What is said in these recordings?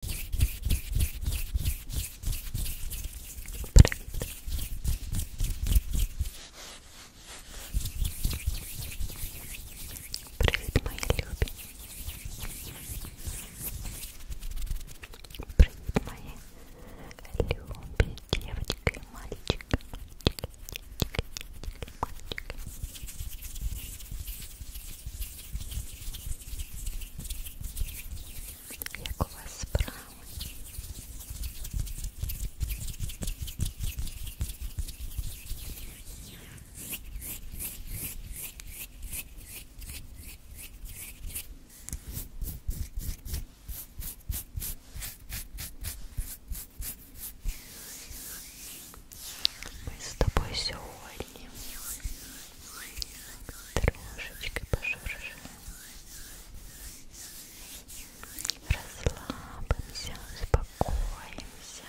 Привіт, мої любі. Привіт, мої любі дівчатки і мальчики. Мальчики, мальчики, мальчики. Як у вас справи? Ми з тобою сьогодні трошечкой пошуршим расслабимся, успокоимся Хорошо.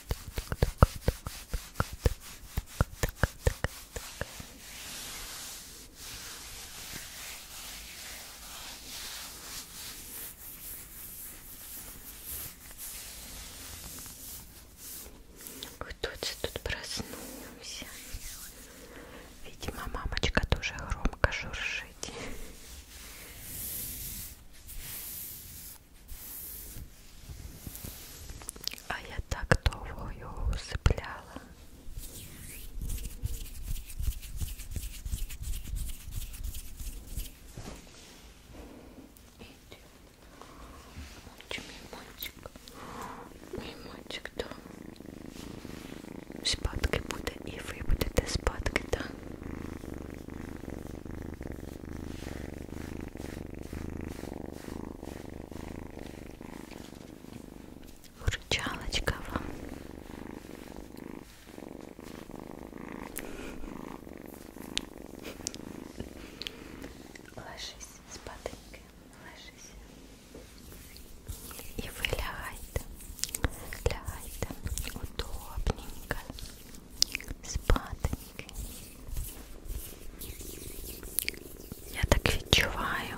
Кто-то тут проснулся. Видимо, мамочка тоже громко шуршит. А я так довго його усипляла. Иди, мой мальчик, мій мальчик, да. Спадки буде, і ви будете спадки, так? Да? Мурчалочка вам. Ложись с потынкой, ложись. И вы лягайте, лягайте удобненько спаденьки. Я так відчуваю.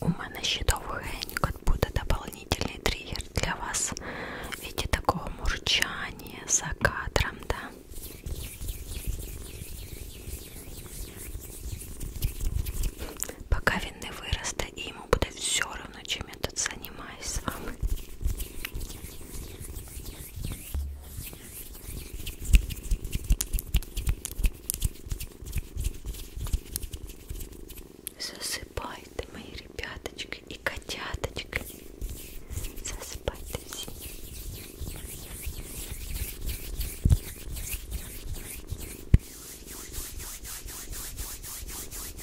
У мене ще довгенько буде дополнительный триггер для вас в виде такого мурчания за кадром, да? Пока він не виросте і йому буде все равно, чим время тут занимаюсь с вами. Засыпайте, мои ребяточки и котяточки. Засыпайте все.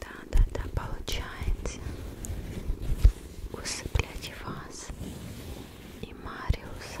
Да, да, да, получается усыплять вас и Мариуса.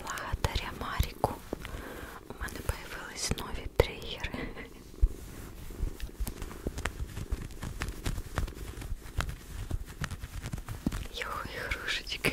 Благодаря Маре ріку. У мене появились нові тригери. Його ігрушечки.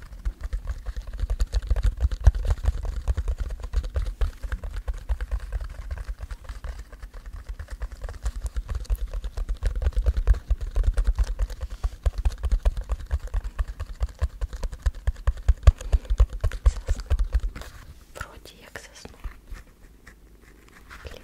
Вроде я к сосну. Блин.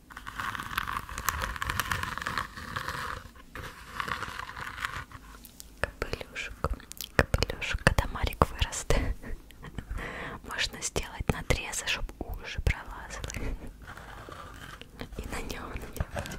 Капелюшек, капелюшек, когда Марик выраст, можно сделать надрезы, чтобы уши пролазали и на него надевать.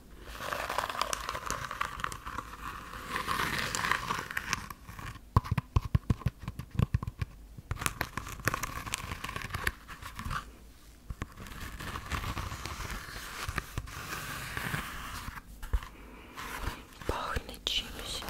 Пахнет чимся.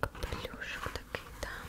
Капелюшок такий, так.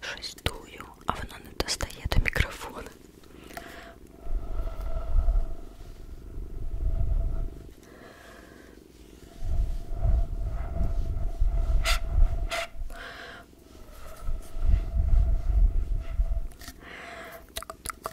Щось дую, а воно не достає до мікрофона. Так, так,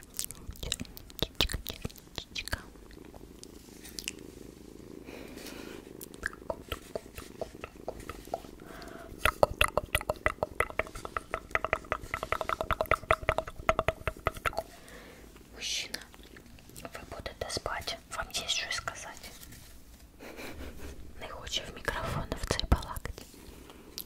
Чичка, чичка. Мужчина, ви будете спати, вам є щось сказати. Не хоче в мікрофон в цей балакати.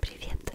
Привет.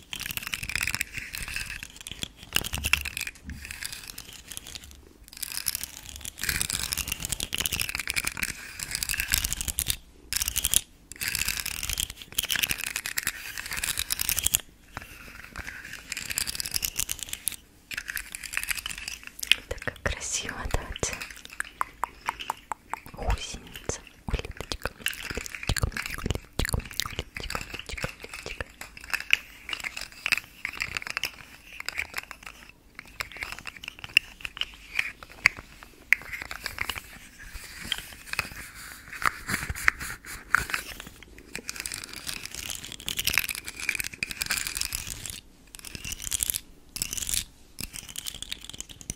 Так как красиво, да? гусеница, улиточка, улиточка, улиточка, улиточка, улиточка, улиточка.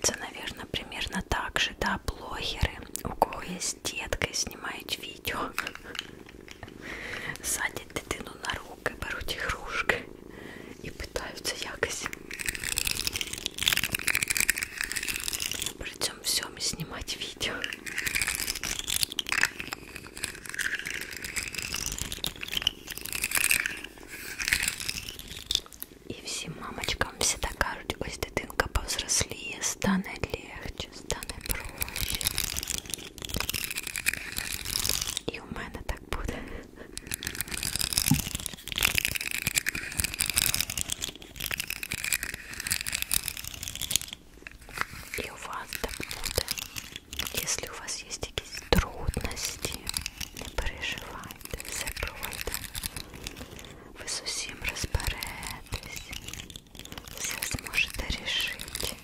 Это, наверное, примерно так же, да, блогеры, у кого есть детка, снимають видео, садять дитину на руки, беруть ігрушки і питаються якось всем всем и снимать видео. І всім мамочкам всегда кажуть, ось дитинка повзросліє, стане легче, стане проще. І у мене так буде. И у вас так буде. Если у вас є якісь трудності, не переживайте, все просто. Ви з усім розберетесь, все зможете рішити.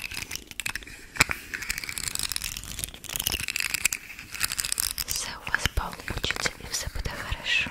Все у вас получится и все будет хорошо.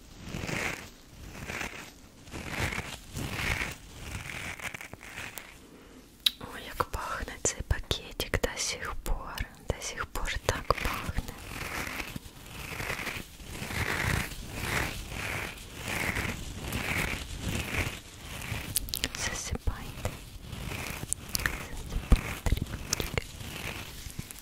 Ой, як пахне цей пакетик до сих пор. До сих пор так пахне. Засипайте. Засипайте, ребятки.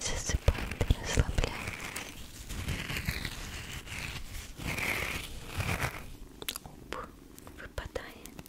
Засыпает и расслабляет. Оп, выпадает.